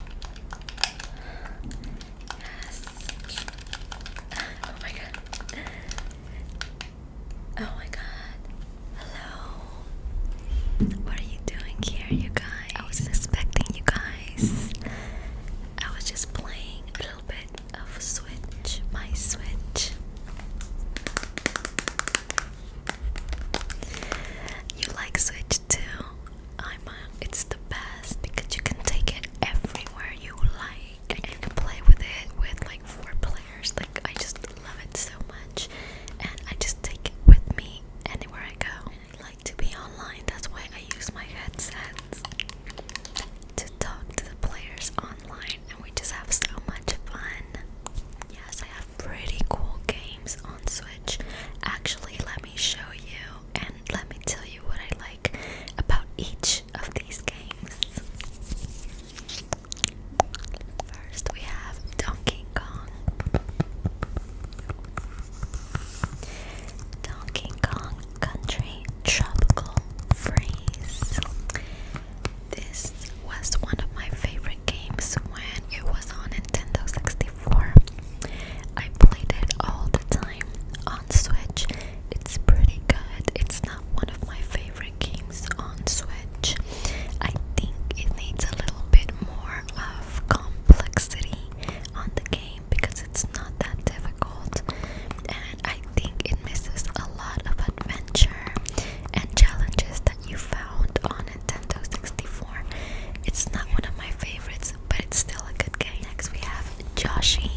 Yes. Oh my god. Oh my god. Hello. What are you doing here, you guys? I wasn't expecting you guys. I was just playing a little bit of Switch, my Switch. You like Switch too? I'm it's the best because you can take it everywhere you like and play with it with like four players. Like I just love it so much and I just take it with me anywhere I go. And I like to be online, that's why I use my headsets to talk to the players online and we just have so much fun. Yes, I have pretty cool games on Switch. Actually, let me show you and let me tell you what I like about each of these games. First, we have Donkey Kong. Donkey Kong Country Tropical Freeze. This was one of my favorite games when it was on Nintendo 64. 64. I played it all the time on Switch. It's pretty good. It's not one of my favorite games on Switch. I think it needs a little bit more of complexity on the game because it's not that difficult. And I think it misses a lot of adventure and challenges you found on Nintendo 64. It's not one of my favorites, but it's still a good game. Next we have Joshi.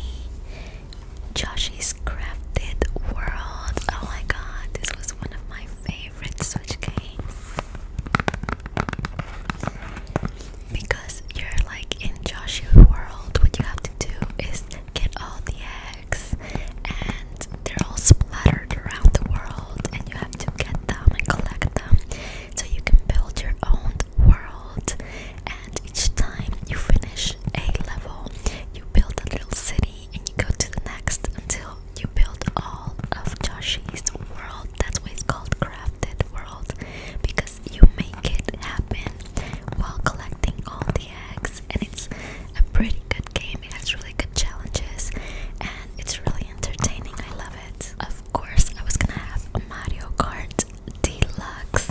Joshi's Crafted World. Oh my god, this was one of my favorite Switch games. Because you're like in Joshi World, what you have to do is get all the eggs and they're all splattered around the world, and you have to get them and collect them so you can build your own world. And each time you finish a level, you build a little city and you go to the next until you build all of Joshi's world. That's why it's called Crafted World because you make it happen while collecting all the eggs, and it's a pretty good game. It has really good challenges and it's really entertaining. I love it. Of course, I was gonna have Mario Kart Deluxe.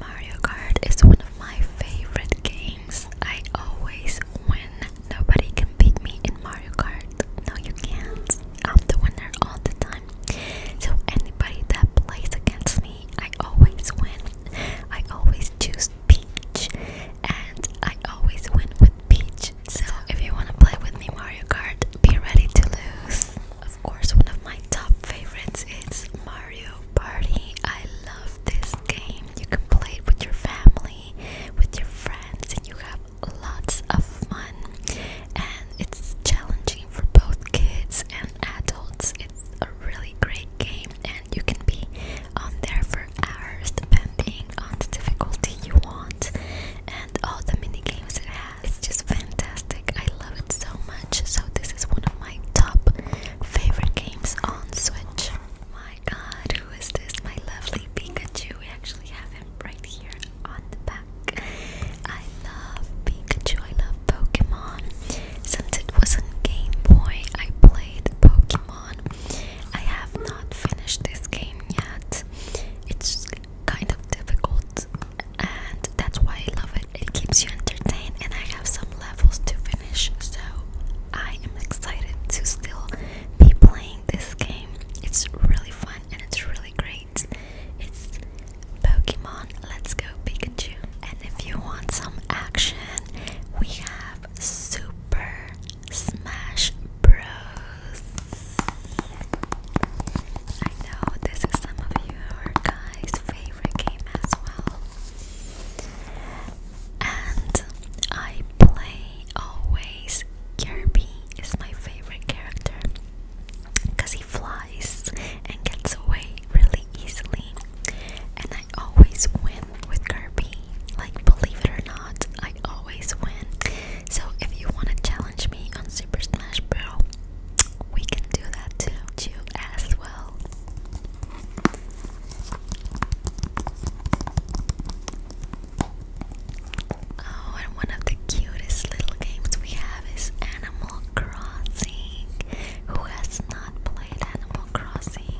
Mario Kart is one of my favorite games. I always win. Nobody can beat me in Mario Kart. No, you can't. I'm the winner all the time. So anybody that plays against me, I always win. I always choose Peach, and I always win with Peach. So if you wanna play with me Mario Kart, be ready to lose. Of course, one of my top favorites is Mario Party. I love this game. You can play it with your family, with your friends, and you have lots of fun and it's challenging for both kids and adults. It's a really great game, and you can be on there for hours depending on the difficulty you want and all the mini games it has. It's just fantastic. I love it so much. So, this is one of my top favorite games on Switch. My god, who is this? My lovely Pikachu. We actually have him right here on the back. I love Pikachu, Pokemon. Since it was on Game Boy, I played Pokemon. I have not finished this game yet. It's kind of difficult, and that's why I love it. It keeps you entertained, and I have some levels to finish, so I am excited to still be playing this game. It's really fun and it's really great. It's Pokemon Let's Go Pikachu. And if you want some action, we have Super Smash Bros. I know this is some of your guys' favorite game as well. And I play always Kirby is my favorite character because he flies and gets away really easily. And I always win with Kirby. Like, believe it or not, I always win. So, if you want to challenge me on Super Smash Bros., we can do that too, too as well. Oh, and one of the cutest little games we have is Animal Crossing. Who has not played Animal Crossing?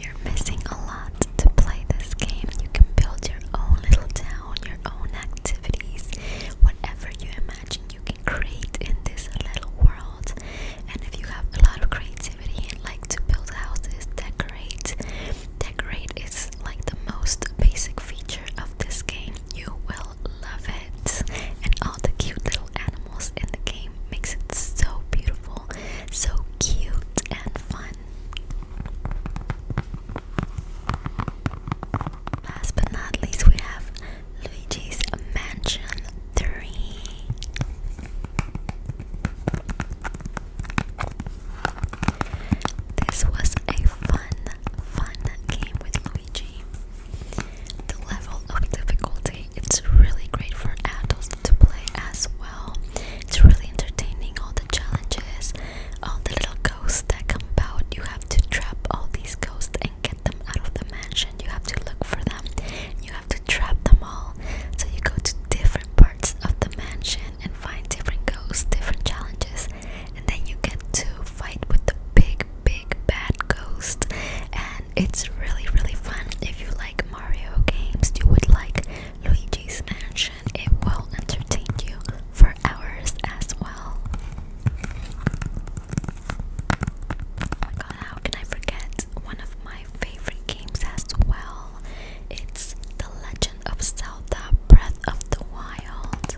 You're missing a lot to play this game. You can build your own little town, your own activities, whatever you imagine you can create in this little world. And if you have a lot of creativity and like to build houses, decorate, Decorate is like the most basic feature of this game. You will love it. And all the cute little animals in the game makes it so beautiful, so cute and fun. Last but not least, we have Luigi's Mansion 3. This was a fun, fun game with Luigi. The level of difficulty, it's really great for adults to play as well. It's really entertaining, all the challenges, all the little ghosts that come about. You have to trap all these ghosts and get them out of the mansion. You have to look for them. You have trap them all. So you go to different parts of the mansion and find different ghosts, different challenges, and then you get to fight with the big, big bad ghost. And it's really, really fun. If you like Mario games, you would like Luigi's Mansion. It will entertain you for hours as well. Oh how can I forget one of my favorite games as well? It's The Legend of Zelda Breath of the Wild.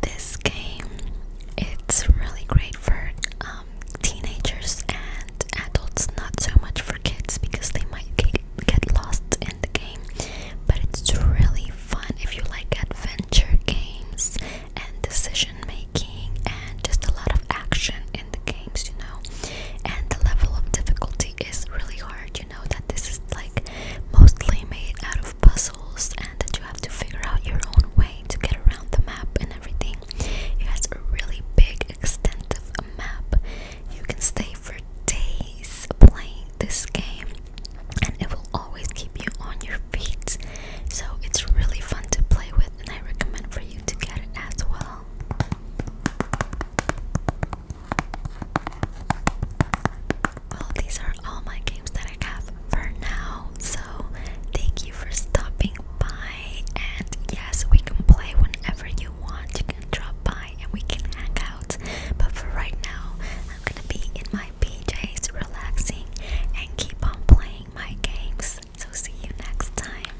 This game it's really great for um, teenagers and adults, not so much for kids because they might get lost in the game. But it's really fun if you like adventure games and decision making and just a lot of action in the games, you know. And the level of difficulty is really hard, you know, that this is like mostly made out of puzzles and that you have to figure out your own way to get around the map and everything. It has a really big, extensive map. You can stay for days playing this game and it will always keep you on your feet. So it's really fun to play with and I recommend for you to get it as well. Well, these are all my games that I have for now. So, thank you for stopping by. And yes, we can play whenever you want. You can drop by and we can hang out. But for right now, I'm gonna be in my PJs relaxing and keep on playing my games. So, see you next time.